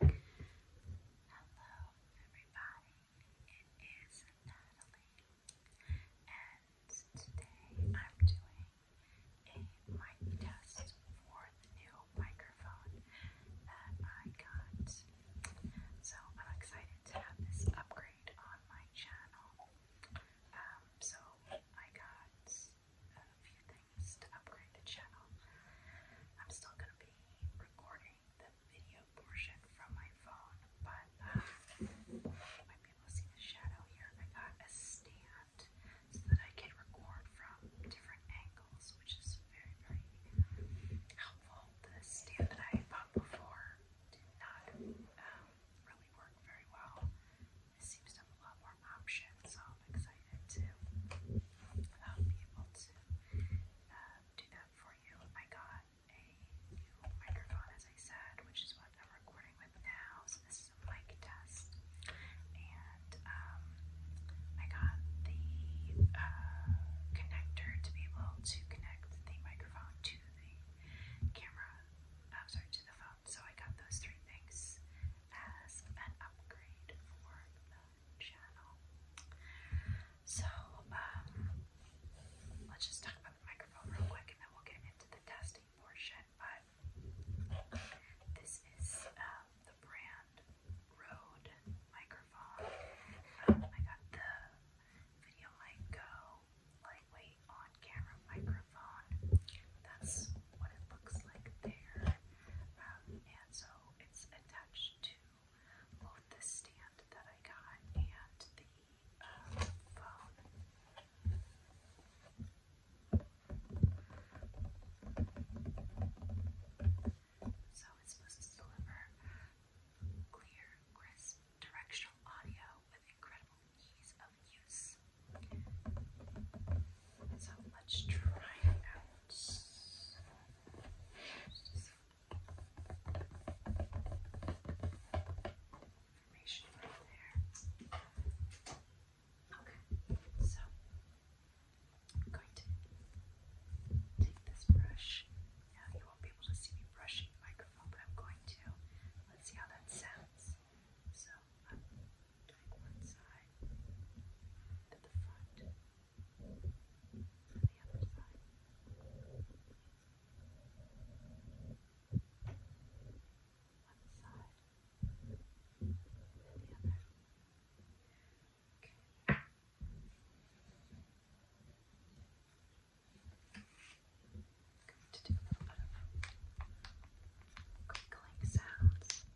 Hello, everybody. It is Natalie, and today I'm doing a mic test for the new microphone that I got. So I'm excited to have this upgrade on my channel. so I got a few streams to upgrade the channel. I'm still going to be recording the video portion from my phone, but uh, you might be able to see the shadow here. I got a stand so that I can record from different angles, which is very, very helpful. The stand that I bought before did not um, really work very well. This seems to have a lot more options so I'm excited to um, be able to um, do that for you. I got a new microphone, as I said, which is what I'm recording with now. So this is a mic test, and um, I got the uh, connector to be able to connect the microphone to the camera. Uh, sorry, to the phone. So I got those three things as an upgrade for so, um, let's just talk about the microphone real quick and then we'll get into the testing portion. But this is um, the brand Rode microphone. Um, I got the Video lightweight on camera microphone. That's what it looks like there. Um, and so it's attached um, so it's supposed to deliver clear, crisp, directional audio with incredible ease of use. So let's try it out. Okay, so I'm going to take this brush. Now you won't be able to see me brushing the microphone, but I'm going to. Let's see how that sounds. So uh, doing one side to the front and the other side. One side and the other. Okay. going to do a little bit of crinkling sounds.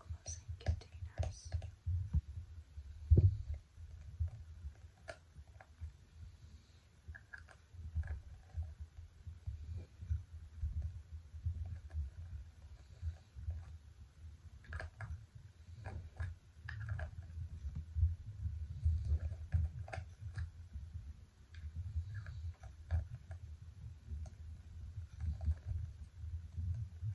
closing containers.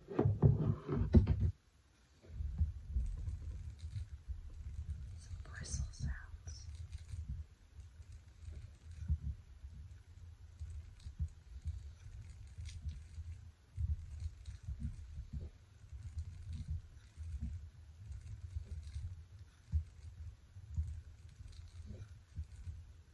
Some bristle sounds.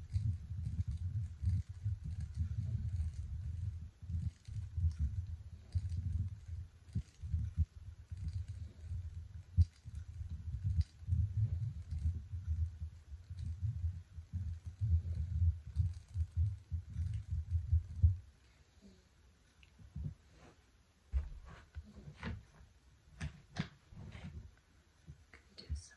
Can do some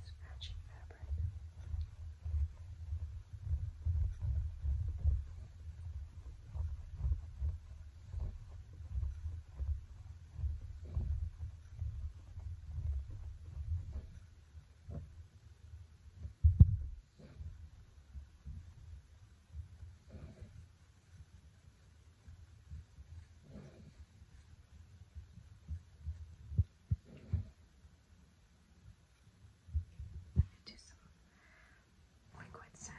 This matching fabric. This do some liquid sounds.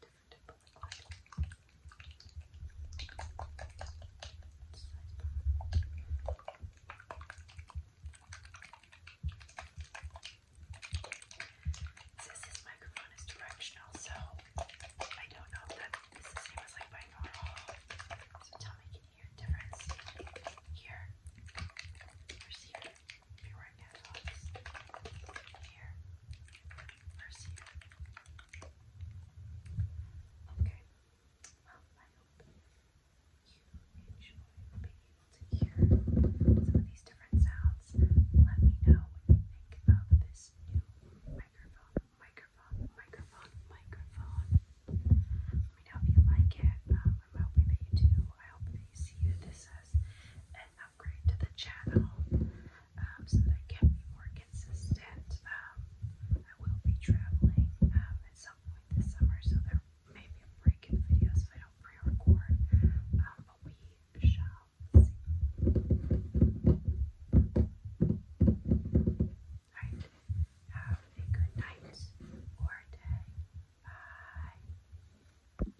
different type microphone is directional, so I don't know if that is the same as like binaural. So tell can you hear a difference here versus Pure Okay. Well, I hope you enjoy being able to hear some of these different sounds. Let me know what you think this new microphone, microphone, microphone, microphone. Let me know if you like it. I'm um, you do. I hope that you see that this says upgrade to the channel um, so that I can be more consistent. Um, I will be traveling um, at some point this summer, so there may be a break in videos if I don't pre record, but we shall Alright, have a good night or day. Bye.